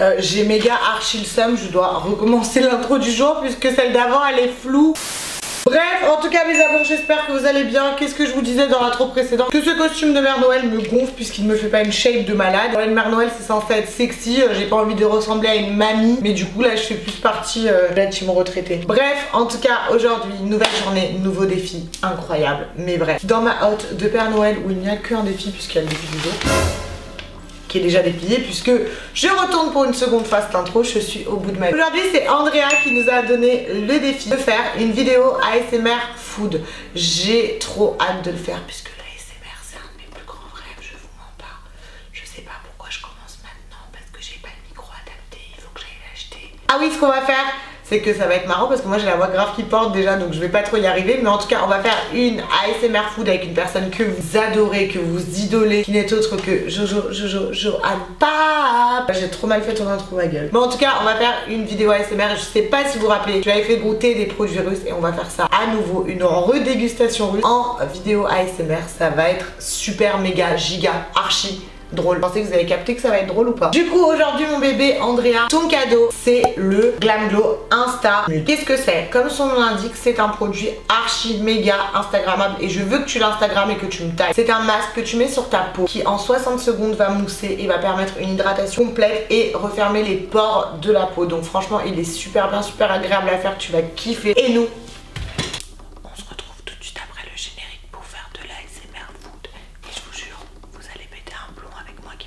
Euh, j'ai méga archi le seum, je dois recommencer l'intro du jour puisque celle d'avant elle est floue. Bref, en tout cas mes amours, j'espère que vous allez bien. Qu'est-ce que je vous disais dans l'intro précédente Que ce costume de Mère Noël me gonfle puisqu'il ne me fait pas une shape de malade. Alors, une Mère Noël c'est censé être sexy, euh, j'ai pas envie de ressembler à une mamie. Mais du coup là je fais plus partie euh, de la team retraitée. Bref, en tout cas aujourd'hui, nouvelle journée, nouveau défi, incroyable. Mais bref, dans ma hôte de Père Noël où il n'y a qu'un défi puisqu'il y a le défi du jour qui est déjà déplié puisque je retourne pour une seconde phase d'intro, je suis au bout de ma vie. Aujourd'hui c'est Andrea qui nous a donné le défi de faire une vidéo ASMR food. J'ai trop hâte de le faire puisque l'ASMR c'est un de mes plus grands rêves, je vous mens pas. Je sais pas pourquoi je commence maintenant parce que j'ai pas le micro adapté, il faut que j'aille l'acheter. Ah oui ce qu'on va faire c'est que ça va être marrant parce que moi j'ai la voix grave qui porte déjà donc je vais pas trop y arriver mais en tout cas on va faire une ASMR food avec une personne que vous adorez, que vous idolez, qui n'est autre que Jojo, Jojo, Johan Pape. J'ai trop mal fait ton intro, ma gueule. mais en tout cas, on va faire une vidéo ASMR. Je sais pas si vous vous rappelez, je avais fait goûter des produits russes et on va faire ça à nouveau, une redégustation russe en vidéo ASMR. Ça va être super, méga, giga, archi drôle. Pensez que vous avez capté que ça va être drôle ou pas. Du coup, aujourd'hui, mon bébé Andrea, ton cadeau, c'est le Glam Glow Insta. Qu'est-ce que c'est Comme son nom l'indique, c'est un produit archi méga Instagrammable et je veux que tu l'Instagrammes et que tu me tailles. C'est un masque que tu mets sur ta peau qui en 60 secondes va mousser et va permettre une hydratation complète et refermer les pores de la peau. Donc franchement, il est super bien, super agréable à faire, tu vas kiffer. Et nous, on se retrouve tout de de suite après le générique pour faire je vous vous jure, allez péter un plomb avec moi food. Et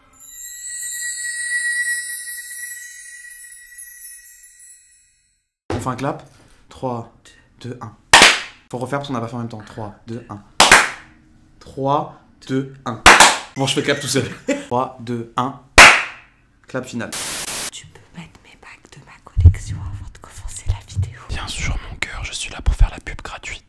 On fait un clap. 3, 2, 1. Faut refaire parce qu'on a pas fait en même temps. 3, 2, 1. 3, 2, 1. Bon, je fais clap tout seul. 3, 2, 1. Clap final. Tu peux mettre mes bacs de ma collection avant de commencer la vidéo. Bien sûr, mon cœur, je suis là pour faire la pub gratuite.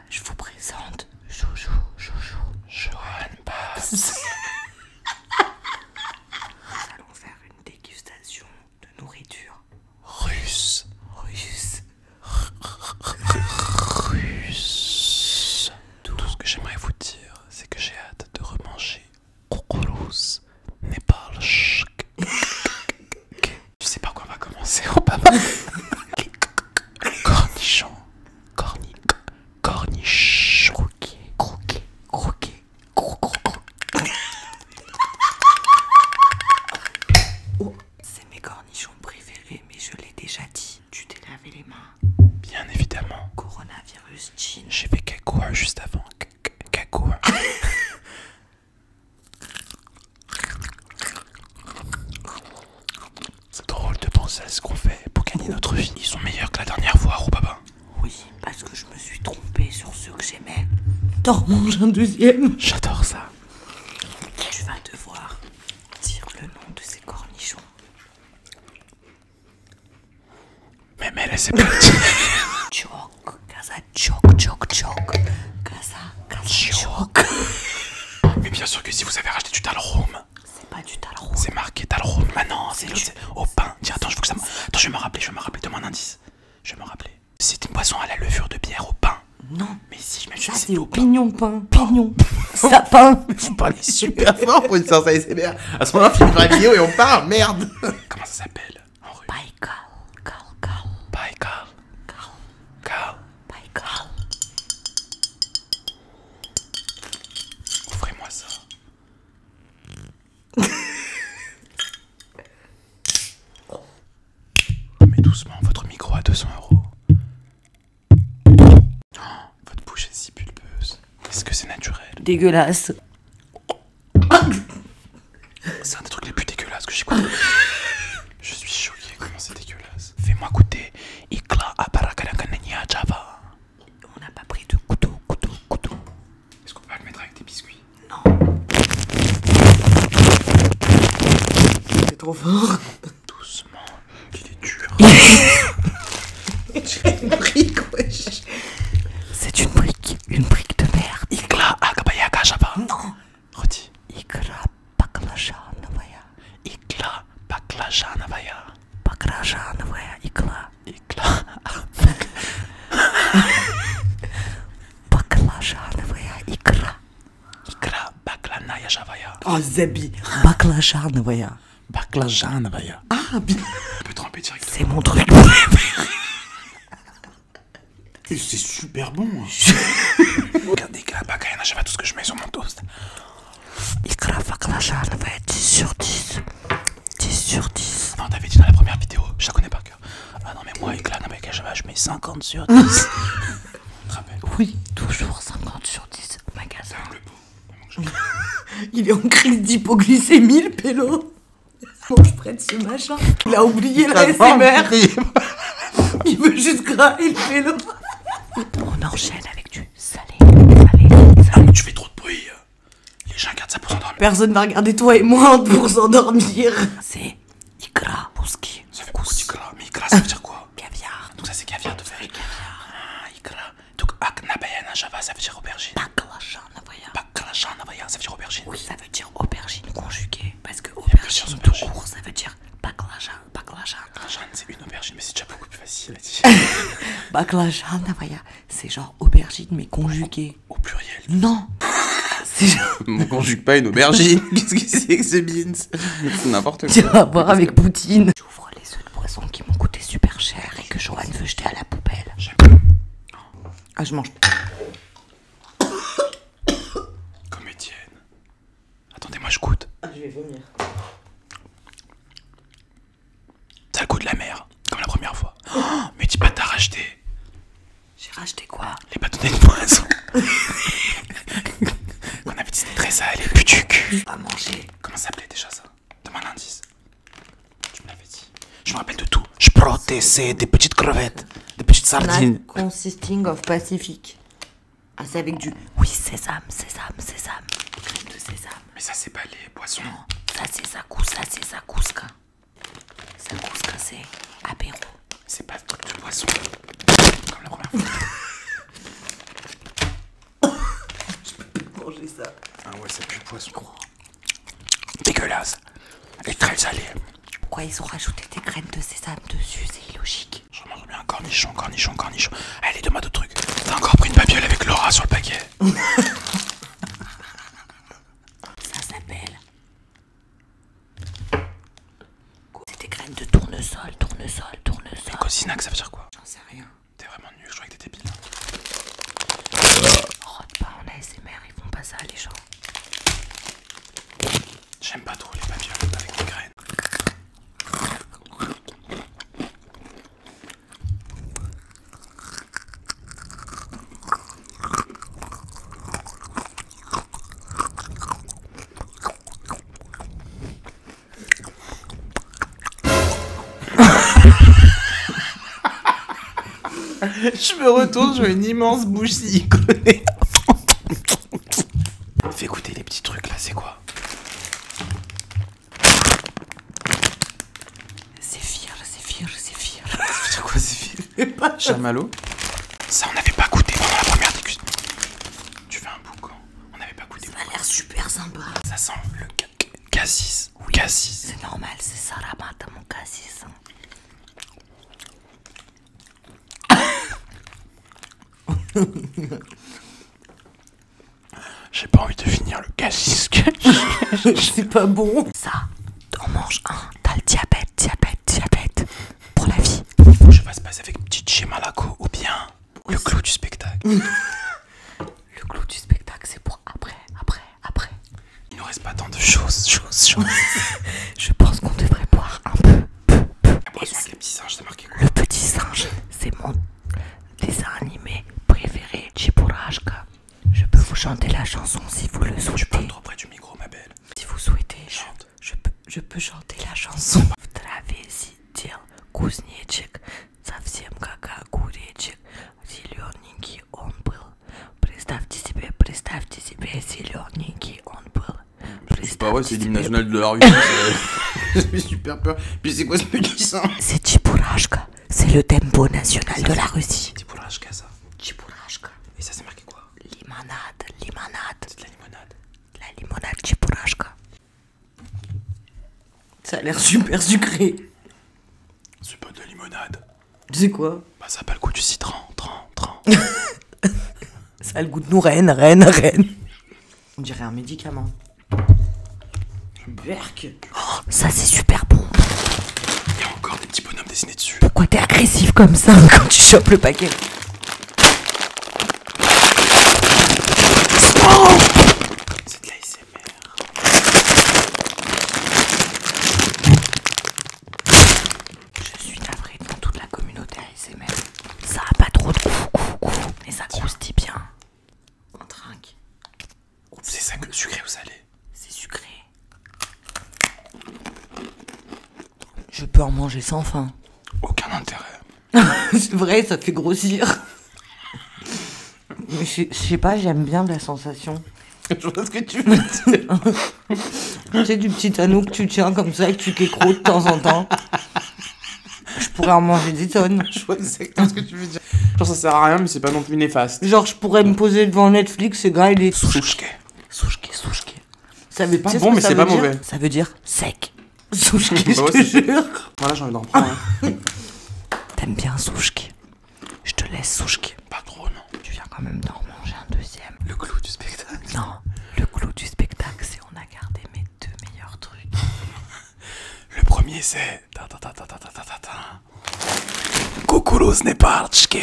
je vous présente Joujou, Joujou, Johan Nous allons faire une dégustation de nourriture russe. Russe. Russe. Tout, ce que j'aimerais vous dire, c'est que j'ai hâte de remanger le Népal. Je sais pas quoi on va commencer, Papa. papa Cornichon, Corniche corniche, croquet, croquet, croquet, cro oh, c'est mes cornichons préférés, mais je l'ai déjà dit. Tu t'es lavé les mains Bien évidemment. Coronavirus, jean. J'ai fait cacoua juste avant. Cacoua. C'est drôle de penser à ce qu'on fait pour gagner notre vie. Ils sont meilleurs que la dernière fois, papa. Oui, parce que je me suis trompé sur ceux que j'aimais. T'en manges un deuxième J'adore ça. Tu vas devoir dire le nom de ces cornichons. Mais mais laissez pas Choc, casa choc, choc, choc, casa, caza, Mais bien sûr que si vous avez racheté du talrome, c'est pas du tarôme. C'est marqué tarôme. Ah non, c'est au pain. attends, je veux que ça Attends, je vais me rappeler, je vais me rappeler. de mon indice. Je vais me rappeler. C'est une boisson à la levure de bière au pain. Non. Mais si je me suis c'est au pignon pain. Pignon. Sapin. Vous parlez super fort pour une séance ASMR. À ce moment-là, filme la vidéo et on parle. Merde. Comment ça s'appelle Baïkal. Baikal. Baïkal. Michael. Offrez-moi ça. Mais doucement, votre micro à 200 euros. Oh, votre bouche est si pulpeuse. Est-ce que c'est naturel Dégueulasse. C'est un des trucs les plus dégueulasses que j'ai Je suis choqué comment c'est dégueulasse. Fais-moi goûter. Ikla aparakanakania java. On n'a pas pris de couteau, couteau, couteau. Est-ce qu'on peut pas le mettre avec des biscuits Non. C'est trop fort. Doucement, il est dur. as une brique, wesh. C'est une brique, une brique de mer Ikla akabayaka java. Non. Redis. Ikra baklajanovaya. Ikla baklajanovaya. vaya ikla. Ikla. Baklajanovaya ikra. Ikra baklanayajavaya. Oh Zebi. Baklajanovaya. Baklajanovaya. Ah bien. On peut C'est mon truc C'est super bon. Hein. dégueulasse bacayana, je sais tout ce que je mets sur mon toast. Il Ikrafaklasha, elle va bah 10 sur 10. 10 sur 10. Non, t'avais dit dans la première vidéo, je la connais par cœur. Ah non, mais moi, il Kayana, je mets 50 sur 10. oui, toujours 50 sur 10. Magasin. Il est en crise d'hypoglycémie, le pélo. Bon, je prenne ce machin. Il a oublié la SMR. Il veut juste grailler le pélo. On enchaîne avec du salé, salé, salé. Ah, mais tu fais trop de bruit. Euh. Les gens regardent ça pour s'endormir. Personne va regarder toi et moi pour s'endormir. C'est ikra, Pour Ça fait quoi ikra Mais ça veut dire quoi Caviar. Donc ça c'est caviar de faire Caviar. Ah, Donc Aknabayana java, ça veut dire aubergine. Baklajan nabaya. Baklajan nabaya, ça veut dire aubergine. Oui, ça veut dire aubergine conjuguée. Parce que aubergine ça veut dire baklajan baklajan. c'est une aubergine, mais c'est déjà beaucoup plus facile à dire. baklajan, c'est genre aubergine, mais conjuguée. Au pluriel. Non C'est genre. conjugue pas une aubergine. Qu'est-ce que c'est que ce beans C'est n'importe quoi. Tu vas voir avec Poutine. J'ouvre les œufs de poisson qui m'ont coûté super cher et que Johan veut jeter à la poubelle. Ah, je mange. Comme Attendez, moi je goûte. Ah, je vais vomir. Ça goûte la mer, comme la première fois. Oh, mais dis pas, t'as racheté. J'ai racheté quoi Les bâtonnets de poisson. On avait dit c'était très salé, putuc. À manger. Comment ça s'appelait déjà ça De un indice. Tu me l'avais dit. Je me rappelle de tout. Je protestais des petites crevettes, des petites sardines. consisting of Pacific. Ah, c'est avec du. Oui, sésame, sésame, sésame. Crème de sésame. Mais ça, c'est pas les poissons. ça, c'est sa c'est Sa cousca. c'est apéro. C'est pas le truc de poisson. Comme la première fois. Je peux plus manger ça. Ah ouais, c'est plus poisson. Dégueulasse. Les très allées. Pourquoi ils ont rajouté des graines de sésame dessus C'est illogique. Je me remets un cornichon, cornichon, cornichon. Allez, demain de truc. T'as encore pris une babiole avec Laura sur le paquet. Ça s'appelle. C'est des graines de tournesol, tournesol, tournesol. Cosinac, ça veut dire quoi J'en sais rien. T'es vraiment nul, je crois que t'es débile. Rote pas en ASMR, ils font pas ça les gens. J'aime pas trop les papillons avec des graines. je me retourne, je vois une immense bouche siliconée. Fais écouter les petits trucs là, c'est quoi C'est fier, c'est fier, C'est fier quoi Zéphyr malot Ça, on avait pas goûté pendant la première Tu fais un boucan. On avait pas goûté. Ça a l'air super sympa. Ça sent le cassis. Cassis. C'est normal, c'est ça, à mon cassis. Hein. J'ai pas envie de finir le je C'est pas bon. Ça, on mange un. T'as le diabète, diabète, diabète. Pour la vie. Je se passer avec petite Malako ou bien le clou du spectacle. le clou du spectacle, c'est pour après, après, après. Il ne reste pas tant de choses, choses, choses. Je pense qu'on devrait boire un peu. le, petit singe, marqué quoi le petit singe, c'est mon dessin animé préféré, Chiburajka. Je peux vous chanter la chanson si vous le souhaitez. Je parles trop près du micro, ma belle. Si vous souhaitez, Je, peux, je peux chanter la chanson présentez-vous, imaginez-vous, себе, зелененький on était. C'est pas vrai, c'est l'hymne national de la Russie. J'ai super peur. Puis c'est quoi ce petit ça C'est Tchipourashka. C'est le tempo national de la Russie. Tchipourashka, ça. Tchipourashka. Et ça, c'est marqué quoi Limonade, limonade. C'est de la limonade. La limonade Tchipourashka. Ça a l'air super sucré. C'est pas de la limonade. C'est quoi Bah ça a pas le goût du citron, tran, tran. ça a le goût de nous, reine, reine, reine. On dirait un médicament. Berk Oh, ça c'est super bon. Il y a encore des petits bonhommes dessinés dessus. Pourquoi t'es agressif comme ça hein, quand tu chopes le paquet C'est de l'ASMR. Je suis navrée dans toute la communauté ASMR. Ça a pas trop de goût, mais ça croustille bien. On trinque. C'est ça que le sucré ou salé C'est sucré. Je peux en manger sans faim. Aucun intérêt. c'est vrai, ça fait grossir. Je sais pas, j'aime bien la sensation. Je vois ce que tu veux dire. tu sais, du petit anneau que tu tiens comme ça et que tu t'écroutes de temps en temps. Je pourrais en manger des tonnes. Je vois exactement ce que tu veux dire. Genre, ça sert à rien, mais c'est pas non plus néfaste. Genre, je pourrais me poser devant Netflix et gars, il est. Sushke. Souchke, Sushke. Ça veut pas bon, mais c'est pas mauvais. Ça veut dire sec. Souchke, bah je te jure. Voilà, j'ai envie d'en prendre. Hein. T'aimes bien Sushke. Je te laisse souche. Pas trop non. Tu viens quand même d'en manger un deuxième. Le clou du spectacle. Non, le clou du spectacle c'est on a gardé mes deux meilleurs trucs. le premier c'est... Kukuruz Nepalchke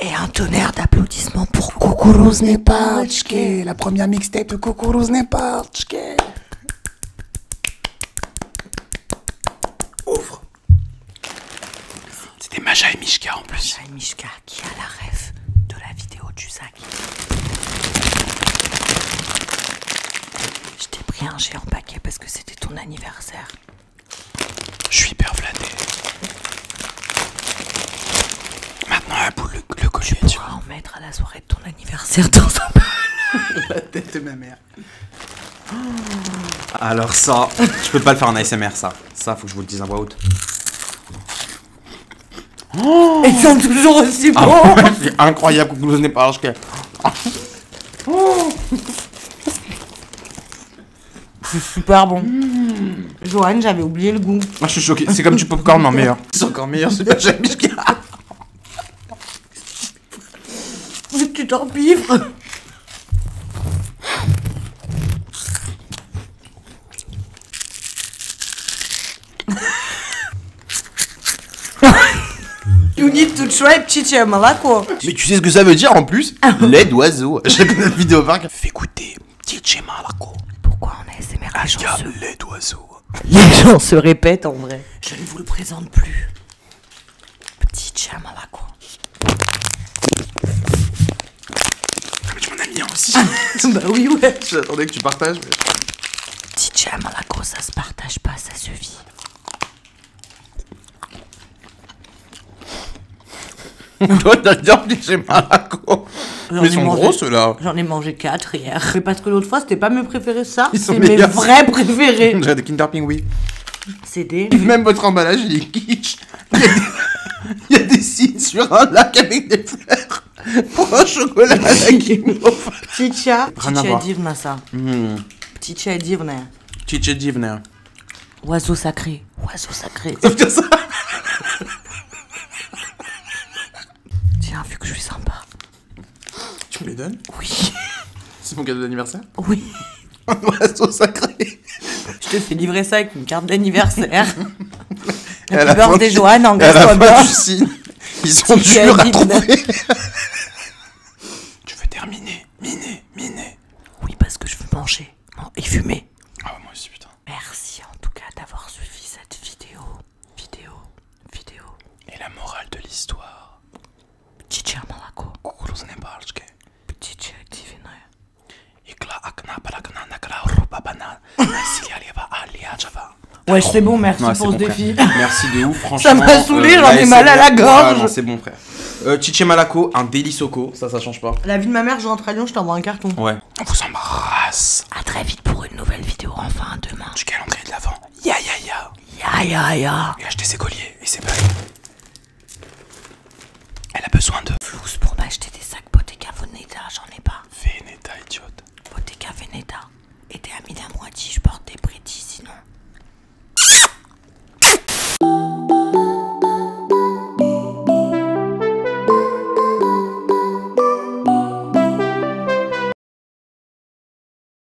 Et un tonnerre d'applaudissements pour Kukuruz Nepalchke La première mixtape de Kukuruz Nepalchke Ouvre c'était Maja et Mishka en plus. Maja et Mishka qui a la rêve de la vidéo du sac. Je t'ai pris un géant paquet parce que c'était ton anniversaire. Je suis hyper flatté. Maintenant, la boule, le, le collier, tu, tu en mettre à la soirée de ton anniversaire dans un la tête de ma mère. Alors ça, je peux pas le faire en ASMR ça. Ça, faut que je vous le dise en voix haute. Oh Et Ils toujours aussi ah bon C'est incroyable que vous n'ayez pas oh c'est super bon. Joanne, j'avais oublié le goût. Ah, je suis choqué. C'est comme du popcorn, mais en meilleur. C'est encore meilleur, super j'aime Mais tu vivre You need to try Mais tu sais ce que ça veut dire en plus Lait d'oiseau. vu vidéo Fais goûter птичье malaco. Pourquoi on a SMR les gens se... lait d'oiseau. Les gens se répètent en vrai. Je ne vous le présente plus. Petit quoi. Ah mais tu m'en as mis un aussi Bah oui ouais, j'attendais que tu partages. Mais... Petit malaco ça se partage pas, ça se vit. Toi t'as bien piégé Malaco Mais ils sont gros ceux-là J'en ai mangé 4 hier. Mais parce que l'autre fois c'était pas mes préférés ça, c'est mes vrais préférés J'ai des Kinder oui. C'est CD. Même votre emballage, il est kitsch. Il y a des, signes sur un lac avec des fleurs. Pour un chocolat à la guimauve. Chicha. Chicha divna, ça. Petit chat T'cha divne. Oiseau sacré. Oiseau sacré. ça Tiens, vu que je suis sympa. Tu me les donnes Oui. C'est mon cadeau d'anniversaire Oui. Un oiseau sacré. Je te fais livrer ça avec une carte d'anniversaire. la, beurre des Joanne, en toi de... Ils sont dû à trouver. Tu veux terminer, miner, miner. Oui, parce que je veux manger et fumer. Ah, moi aussi, putain. Merci en tout cas d'avoir suivi cette vidéo. Vidéo, vidéo. Et la morale de l'histoire Ptičja mlako. Kukuruzne balčke. Ptičje divine. Ikla akna parakna nakra ruba bana. Nasilialeva java Ouais, c'est bon, merci pour ce défi. Merci de ouf, franchement. Ça m'a saoulé, euh, j'en ai mal à la gorge. c'est bon, frère. Euh, Chiche Malaco, un délice au ça, ça change pas. La vie de ma mère, je rentre à Lyon, je t'envoie un carton. Ouais. On vous embrasse. À très vite pour une nouvelle vidéo, enfin demain. Du calendrier de l'avant. Ya ya ya. Ya ya acheter ses colliers et ses bagues. Elle a besoin de. flous pour m'acheter des sacs Bottega Veneta, j'en ai pas. Veneta, idiote. Bottega Veneta. Et t'es moitié, je porte des sinon.